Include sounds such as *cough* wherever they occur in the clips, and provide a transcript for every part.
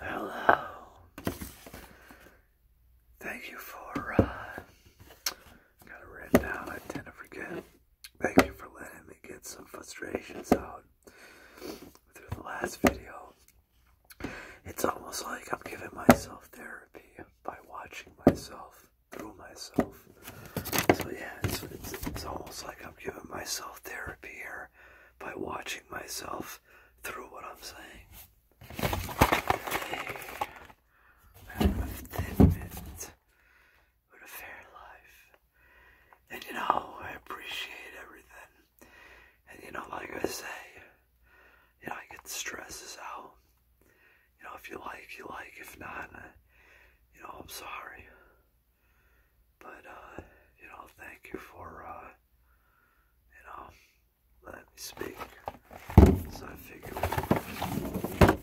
Hello. Thank you for, uh, got it written down. I tend to forget. Thank you for letting me get some frustrations out through the last video. It's almost like I'm giving myself therapy by watching myself through myself. So, yeah, it's almost like I'm giving myself therapy here by watching myself through what I'm saying. Hey, a fair life. And you know, I appreciate everything. And you know, like I say, you know, I get the stresses out. You know, if you like, you like. If not, you know, I'm sorry. But, uh, you know, thank you for, uh, you know, letting me speak. So I figured.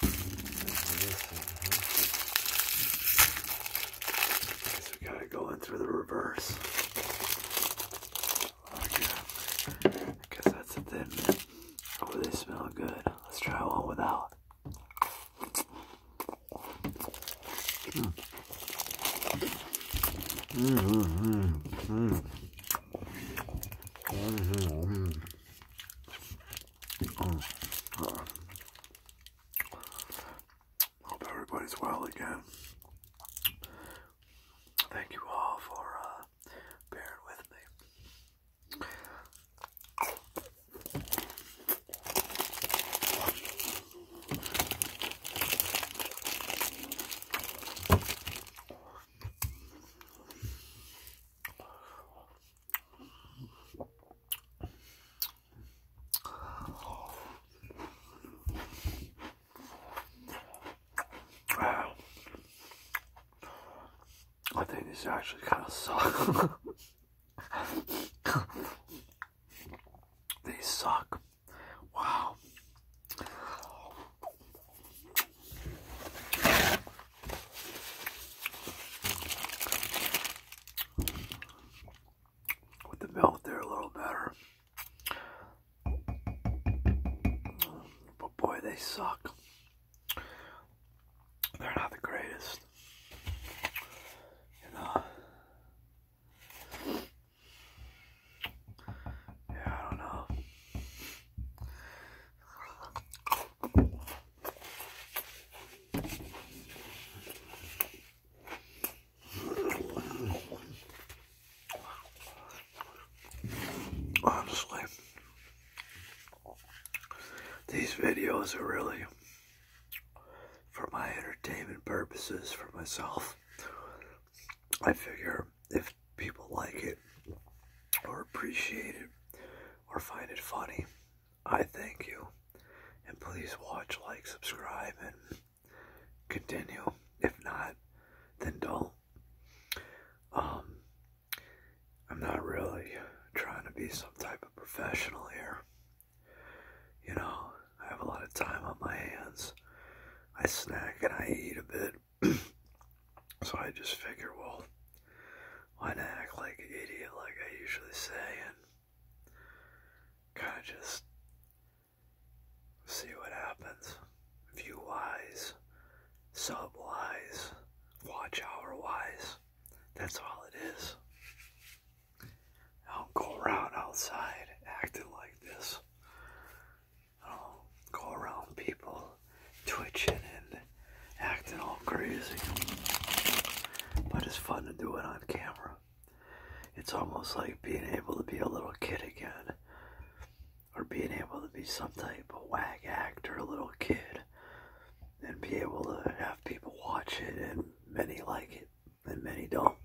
Guess we gotta go in through the reverse. Oh yeah. that's a thin Oh, they smell good. Let's try one without. Mm. Mm -hmm. Mm -hmm. -hmm. hmm, hmm. hmm Mm. hope everybody's well again. Thank you all for uh, bearing with me. Wow. I think this actually kind of sucks. *laughs* they suck. Wow. With the milk there a little better. But boy, they suck. They're not the greatest. You know. Yeah, I don't know. Honestly, these videos are really for my entertainment purposes for myself. I figure if people like it or appreciate it or find it funny, I thank you. And please watch, like, subscribe, and continue. If not, then don't. Um, I'm not really trying to be some type of professional here. You know, I have a lot of time on my hands. I snack and I eat a bit. *clears throat* so I just figure, well, why not act like an idiot like I usually say and kind of just see what happens. View wise, sub wise, watch our wise. That's all it is. I I'll go around outside acting like this. I'll go around people twitching and acting all crazy. But it's fun to do it on camera. It's almost like being able to be a little kid again. Or being able to be some type of wag actor, a little kid. And be able to have people watch it and many like it and many don't.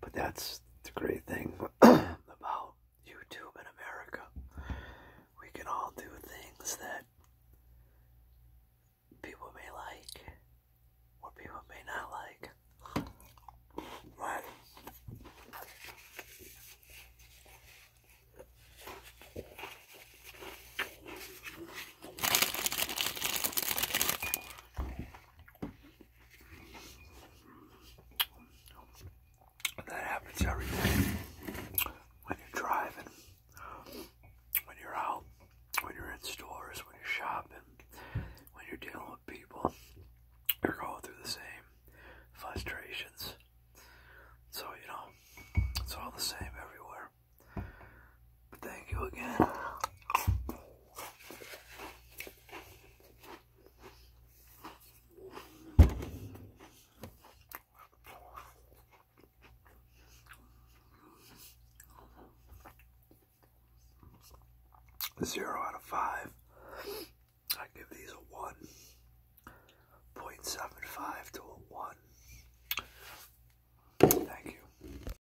But that's the great thing *clears throat* about YouTube in America. We can all do things that people may like or people may not like. Right? That happens every day when you're driving, when you're out, when you're in stores, when you're shopping, when you're dealing with people. You're going through the same frustrations. So, you know, it's all the same everywhere. Thank you again. Zero out of five. I give these a one point seven five to a one. Thank you.